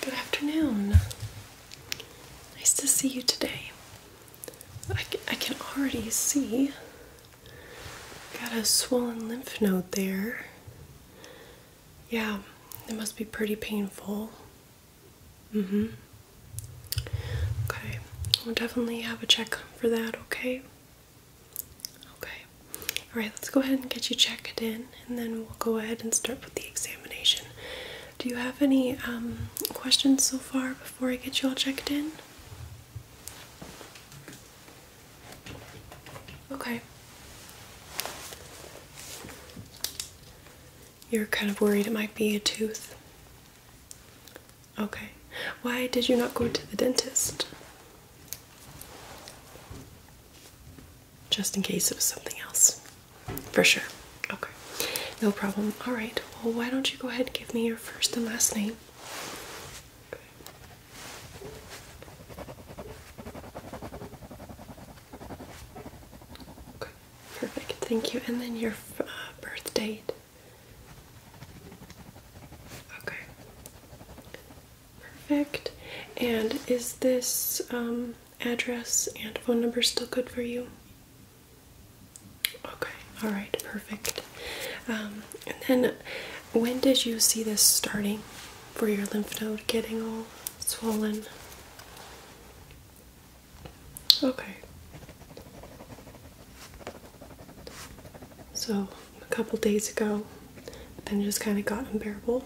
Good afternoon. Nice to see you today. I, I can already see got a swollen lymph node there. Yeah, it must be pretty painful. Mm hmm. Okay, we'll definitely have a check for that, okay? Okay. Alright, let's go ahead and get you checked in and then we'll go ahead and start with the examination. Do you have any um, questions so far before I get you all checked in? Okay. You're kind of worried it might be a tooth. Okay. Why did you not go to the dentist? Just in case it was something else. For sure. Okay. No problem. All right. Well, why don't you go ahead and give me your first and last name? Okay. Perfect. Thank you. And then your uh, birth date. Okay. Perfect. And is this um, address and phone number still good for you? Okay, all right, perfect. Um, and then when did you see this starting for your lymph node getting all swollen? Okay. So a couple days ago, then just kind of got unbearable.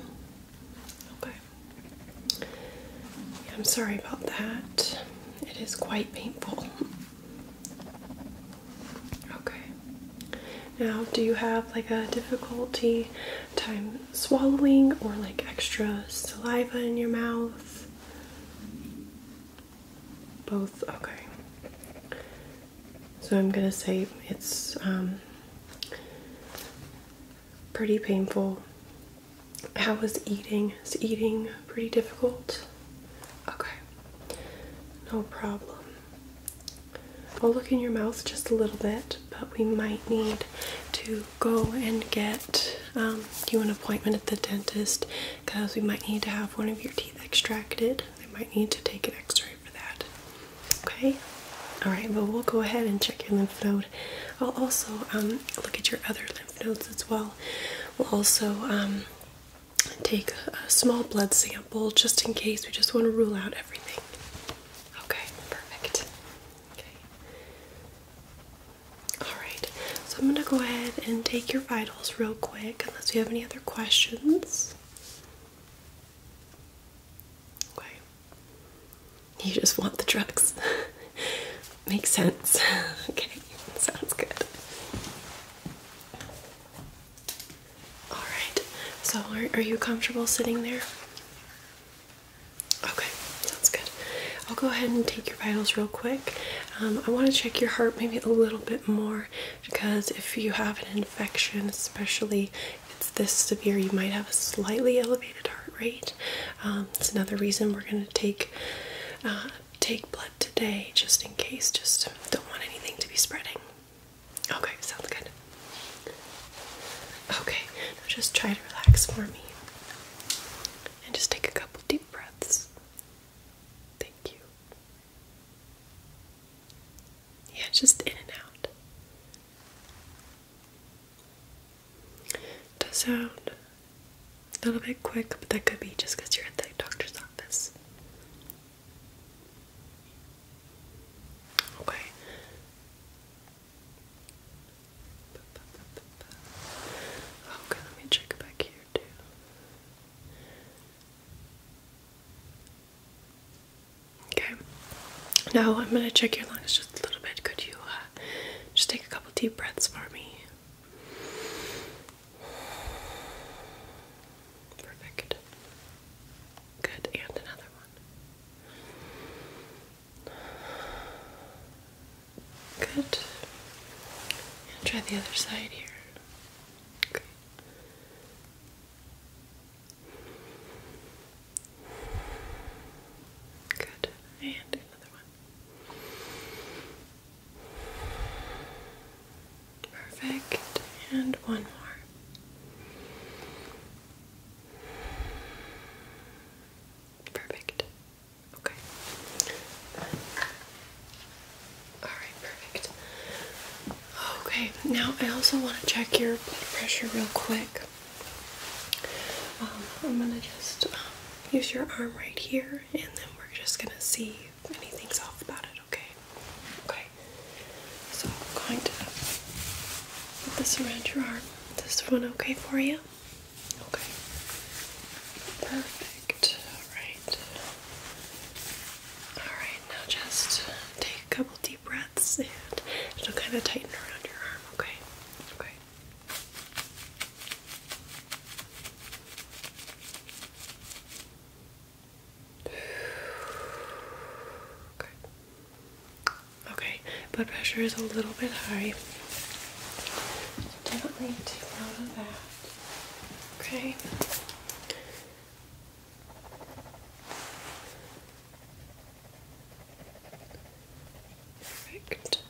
Okay. I'm sorry about that. It is quite painful. Okay. Now, do you have like a difficulty time swallowing or like extra saliva in your mouth? Both? Okay. So I'm gonna say it's um, pretty painful. How was eating? Is eating pretty difficult? Okay. No problem. I'll look in your mouth just a little bit, but we might need to go and get um, you an appointment at the dentist because we might need to have one of your teeth extracted. They might need to take an x ray for that. Okay? Alright, but we'll go ahead and check your lymph node. I'll also um, look at your other lymph nodes as well. We'll also um, take a small blood sample just in case. We just want to rule out everything. Okay, perfect. Okay. Alright, so I'm going to go ahead and take your vitals real quick, unless you have any other questions. Okay. You just want the drugs. Makes sense. okay, sounds good. Alright, so are, are you comfortable sitting there? Okay, sounds good. I'll go ahead and take your vitals real quick. Um, I want to check your heart maybe a little bit more because if you have an infection, especially if it's this severe, you might have a slightly elevated heart rate. Um, it's another reason we're going to take uh, take blood today, just in case. Just don't want anything to be spreading. Okay, sounds good. Okay, now just try to relax for me, and just take a couple deep breaths. Thank you. Yeah, just in and out. Does sound a little bit quick, but that could be just because you're at the doctor's office. Okay. Okay, oh, let me check back here two. Okay, now I'm going to check your lungs just a little bit. Could you uh, just take a couple deep breaths for me? Perfect. Good, and another one. Good. And try the other side here. Okay. Good. And another one. Perfect. And one more. Perfect. Okay. Alright, perfect. Okay, now I also want to check your blood pressure real quick. Um, I'm going to just um, use your arm right here and then we're just going to see if anything's off about it, okay? Okay. So I'm going to put this around your arm. Is this one okay for you? Okay. Perfect. Alright. Alright, now just take a couple deep breaths and it'll kind of tighten around your arm, okay? Okay. Okay. Okay, blood pressure is a little bit high. Definitely too loud of that. Okay. Perfect.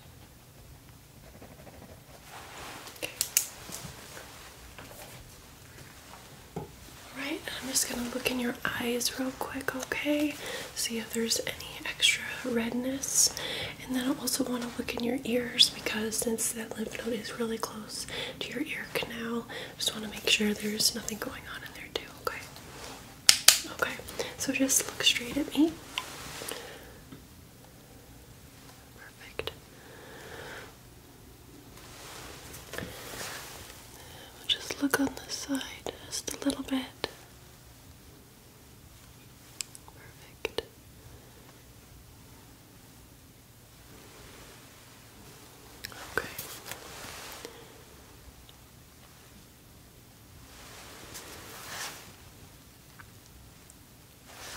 Okay. Alright, I'm just gonna look in your eyes real quick, okay? See if there's any extra redness and then I also want to look in your ears because since that lymph node is really close to your ear canal, I just want to make sure there's nothing going on in there too, okay? Okay, so just look straight at me. Perfect. just look on this side just a little bit. Perfect. Okay.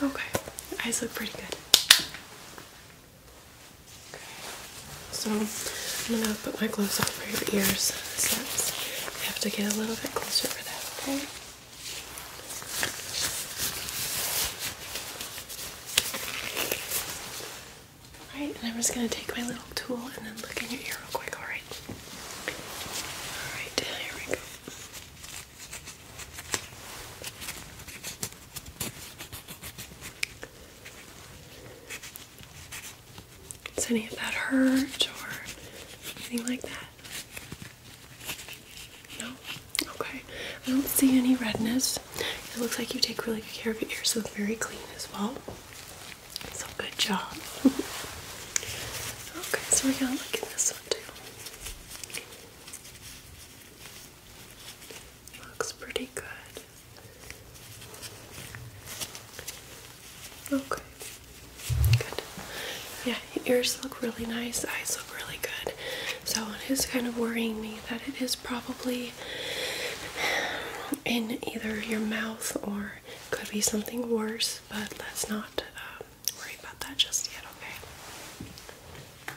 Okay, your eyes look pretty good. Okay, so I'm gonna put my gloves on for your ears since you have to get a little bit closer for that, okay? Alright, and I'm just gonna take my little tool and then look in your ear real quick, alright? Alright, here we go. Does any of that hurt or anything like that? No? Okay. I don't see any redness. It looks like you take really good care of your ears, so it's very clean as well. So good job. okay, so we're gonna look at this one too. Looks pretty good. Okay. Good. Yeah, ears look really nice, eyes look really good. So it is kind of worrying me that it is probably in either your mouth or could be something worse, but let's not uh, worry about that just yet,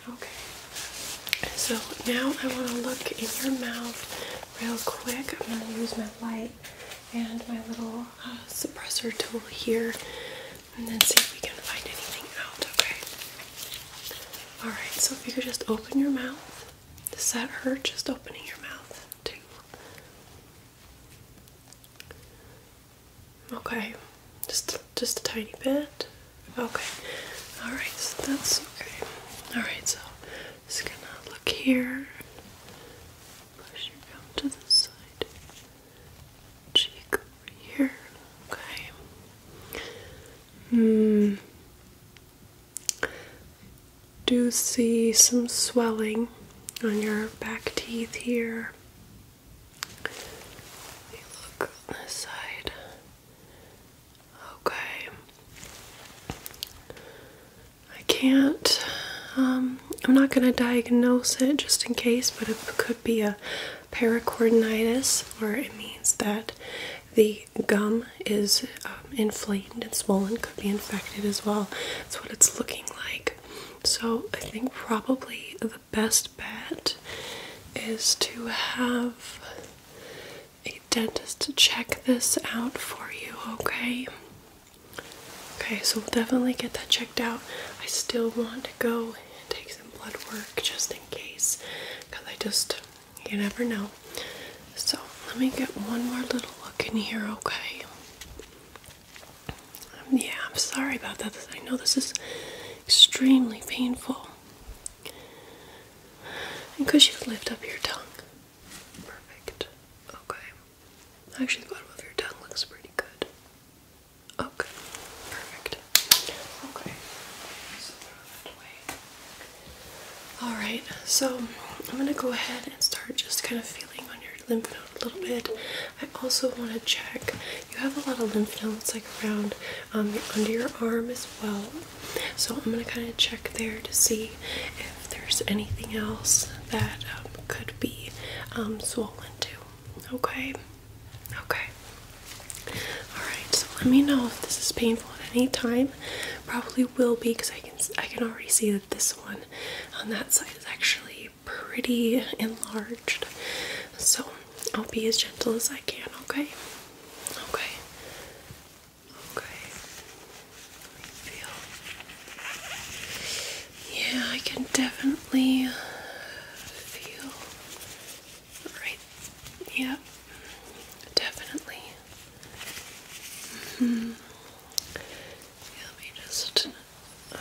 okay? Okay. So now I want to look in your mouth real quick. I'm going to use my light and my little uh, suppressor tool here and then see if we can find anything out, okay? Alright, so if you could just open your mouth. Does that hurt just opening your mouth Okay, just just a tiny bit. Okay, all right, so that's okay. All right, so just gonna look here. Push your gum to the side cheek over here. Okay. Hmm. Do see some swelling on your back teeth here. look on this side. Okay. I can't um, I'm not going to diagnose it just in case, but it could be a pericorditis, or it means that the gum is um, inflamed and swollen, could be infected as well. That's what it's looking like. So I think probably the best bet is to have a dentist check this out for you, okay? Okay, so we'll definitely get that checked out. I still want to go and take some blood work just in case because I just, you never know. So let me get one more little look in here, okay? Um, yeah, I'm sorry about that. I know this is extremely painful. And 'cause you've lifted up your tongue? Perfect. Okay. Actually, the bottom of your tongue looks pretty good. Okay, perfect. Okay, Alright, so I'm gonna go ahead and start just kind of feeling on your lymph node a little bit. I also want to check, you have a lot of lymph nodes like around um, under your arm as well. So I'm gonna kind of check there to see if there's anything else that um, could be um, swollen too. Okay. Okay. Alright, so let me know if this is painful at any time. Probably will be because I can I can already see that this one on that side is actually pretty enlarged. So I'll be as gentle as I can, okay? Okay. Okay. Let me feel. Yeah, I can definitely uh, feel. Right. Yeah. Definitely. -hmm. let me just. Uh,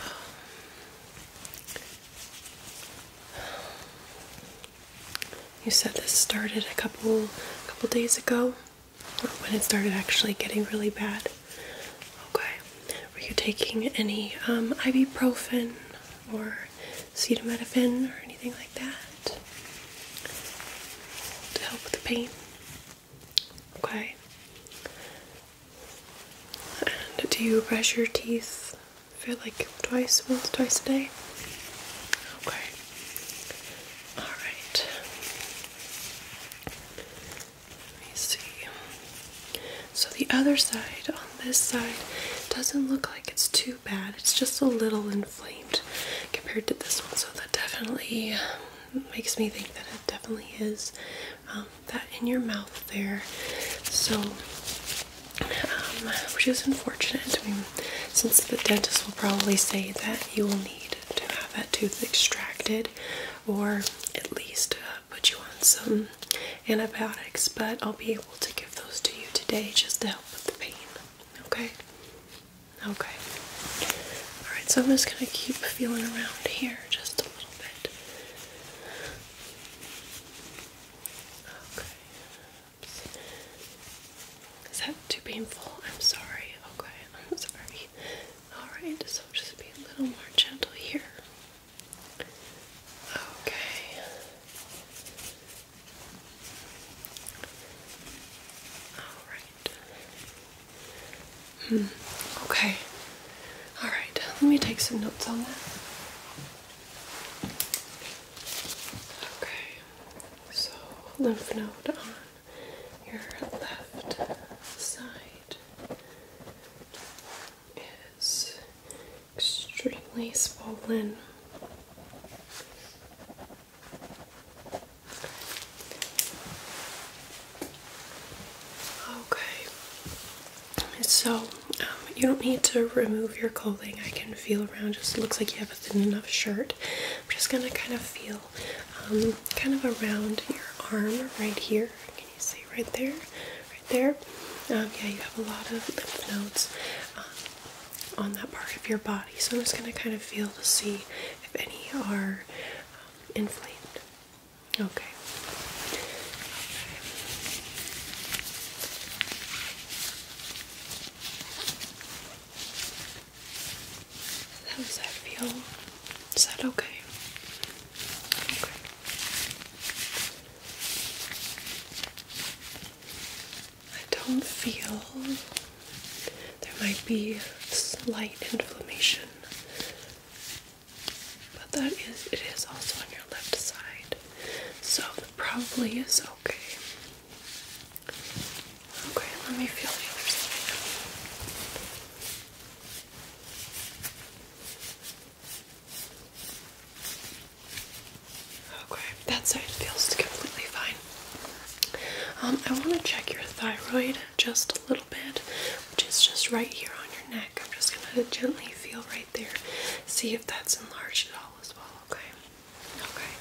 you said this started a couple couple days ago. When it started actually getting really bad. Okay. Were you taking any um, ibuprofen or acetaminophen or anything like that to help with the pain? Okay. And do you brush your teeth? feel like twice, once, twice a day? Okay. Alright. Let me see. So the other side on this side doesn't look like it's too bad. It's just a little inflamed compared to this one. So that definitely um, makes me think that it definitely is um, that in your mouth there. So, um, which is unfortunate. I mean, since the dentist will probably say that you will need to have that tooth extracted or at least uh, put you on some antibiotics, but I'll be able to give those to you today just to help with the pain. Okay? Okay. Alright, so I'm just going to keep feeling around here just a little bit. Okay. Is that too painful? I'm sorry. Okay, I'm sorry. Alright, so just be a little more gentle here. Okay. Alright. Hmm. Okay. Alright, let me take some notes on that. Okay. So lymph node on your left side is extremely swollen. Okay, so um, you don't need to remove your clothing. I can feel around, just looks like you have a thin enough shirt. I'm just gonna kind of feel um, kind of around your arm right here you see right there? Right there? Um, yeah, you have a lot of lymph nodes um, on that part of your body. So I'm just going to kind of feel to see if any are um, inflamed. Okay. okay. How does that feel? Is that okay? I don't feel there might be slight inflammation, but that is it is also on your left side, so it probably is okay. Okay, let me feel the other side. Okay, that side feels completely fine. Um, I want to check your thyroid just a little bit, which is just right here on your neck. I'm just going to gently feel right there, see if that's enlarged at all as well, okay? Okay,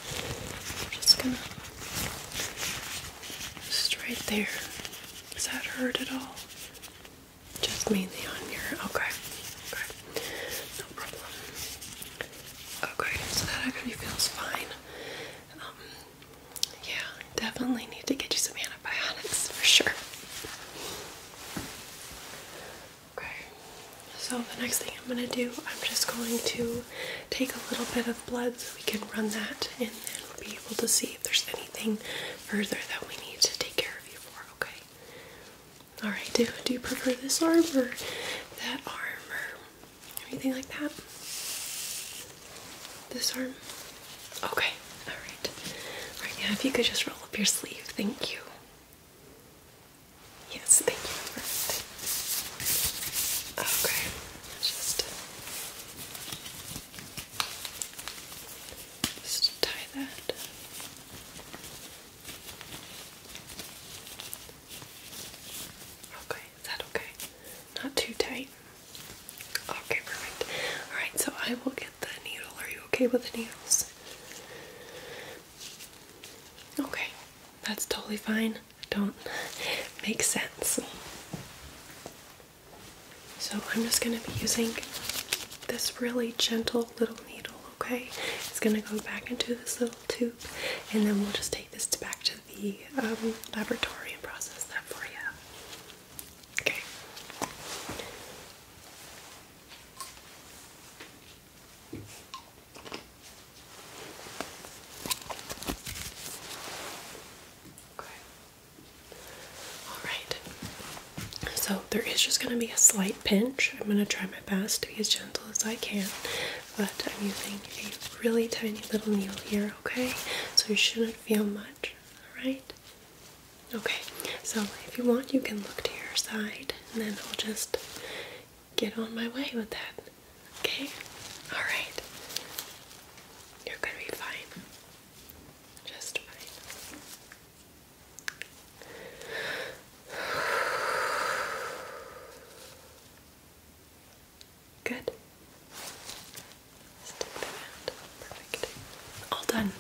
just going to just right there. Does that hurt at all? Just mainly on your okay. Okay. No problem. Okay, so that actually feels fine. Um, yeah, definitely need to get you some antibiotics for sure. Okay. So the next thing I'm gonna do, I'm just going to take a little bit of blood so we can run that in there. We'll be able to see if there's anything further that we need to take care of you for, okay? Alright, do, do you prefer this arm or that arm or anything like that? This arm? Okay, alright. Alright, yeah, if you could just roll up your sleeve, thank you. Yes, thank you. Okay, just just tie that. Okay, is that okay? Not too tight. Okay, perfect. Alright, so I will get the needle. Are you okay with the needles? Okay, that's totally fine. Don't make sense. So I'm just going to be using this really gentle little needle, okay? It's going to go back into this little tube and then we'll just take this back to the um, laboratory and process that for you. Okay. Alright, so there is just going to be a slight pinch. I'm going to try my best to be as gentle as I can, but I'm using a really tiny little needle here, okay? So you shouldn't feel much, alright? Okay, so if you want, you can look to your side and then I'll just get on my way with that, okay? Alright, you're going to be fine. Just right. Good. Perfect. All done.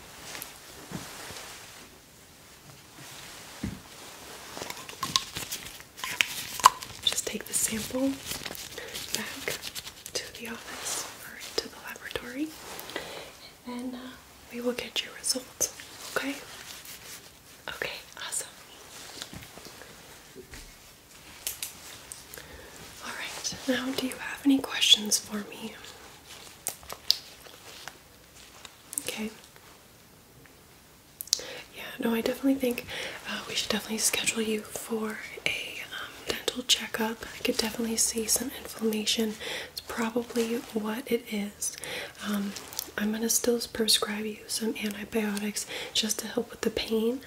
Just take the sample back to the office or to the laboratory, and then uh, we will get your results. Okay? Okay, awesome. Alright, now do you have any questions for me? Okay. Yeah, no, I definitely think uh, we should definitely schedule you for a um, dental checkup. I could definitely see some inflammation. It's probably what it is. Um, I'm going to still prescribe you some antibiotics just to help with the pain.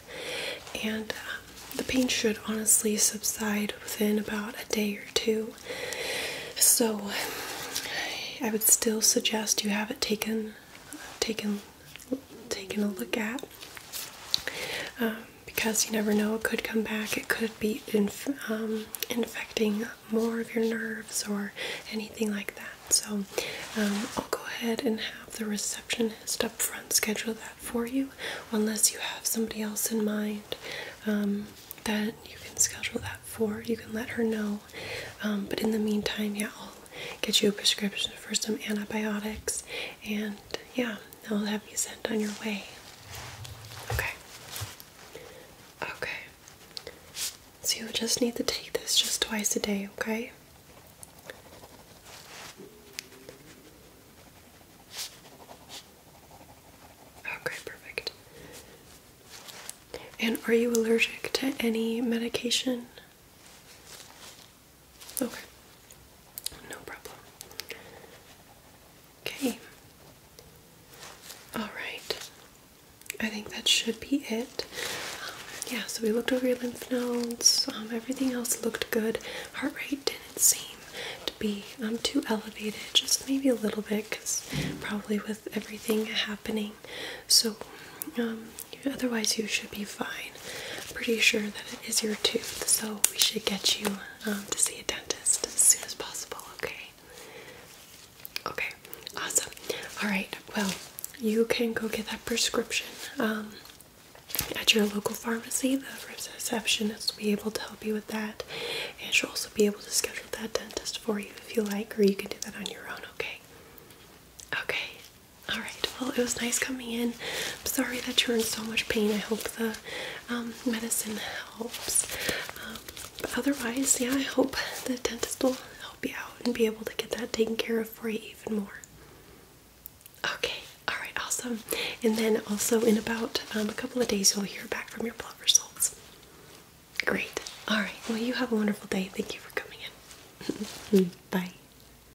And uh, the pain should honestly subside within about a day or two. So I would still suggest you have it taken taken taking a look at um, because you never know, it could come back, it could be um, infecting more of your nerves or anything like that. So um, I'll go ahead and have the receptionist up front schedule that for you, unless you have somebody else in mind um, that you can schedule that for. You can let her know. but in the meantime, yeah, I'll get you a prescription for some antibiotics and yeah, i will have you sent on your way. Okay. Okay. So you'll just need to take this just twice a day, okay? Okay, perfect. And are you allergic to any medication? Okay. No problem. Okay. All right. I think that should be it. yeah, so we looked over your lymph nodes. Um, everything else looked good. Heart rate didn't seem to be um, too elevated, just maybe a little bit, because probably with everything happening. So, um, Otherwise, you should be fine. pretty sure that it is your tooth, so we should get you um, to see a dentist as soon as possible, okay? Okay, awesome. Alright, well, you can go get that prescription um, at your local pharmacy. The receptionist will be able to help you with that, and she'll also be able to schedule that dentist for you if you like, or you can do that on your own, okay? Okay, Alright, well, it was nice coming in. I'm sorry that you're in so much pain. I hope the um, medicine helps. but um, otherwise, yeah, I hope the dentist will help you out and be able to get that taken care of for you even more. Okay, alright, awesome. And then also, in about um, a couple of days, you'll hear back from your blood results. Great. Alright, well, you have a wonderful day. Thank you for coming in. Bye.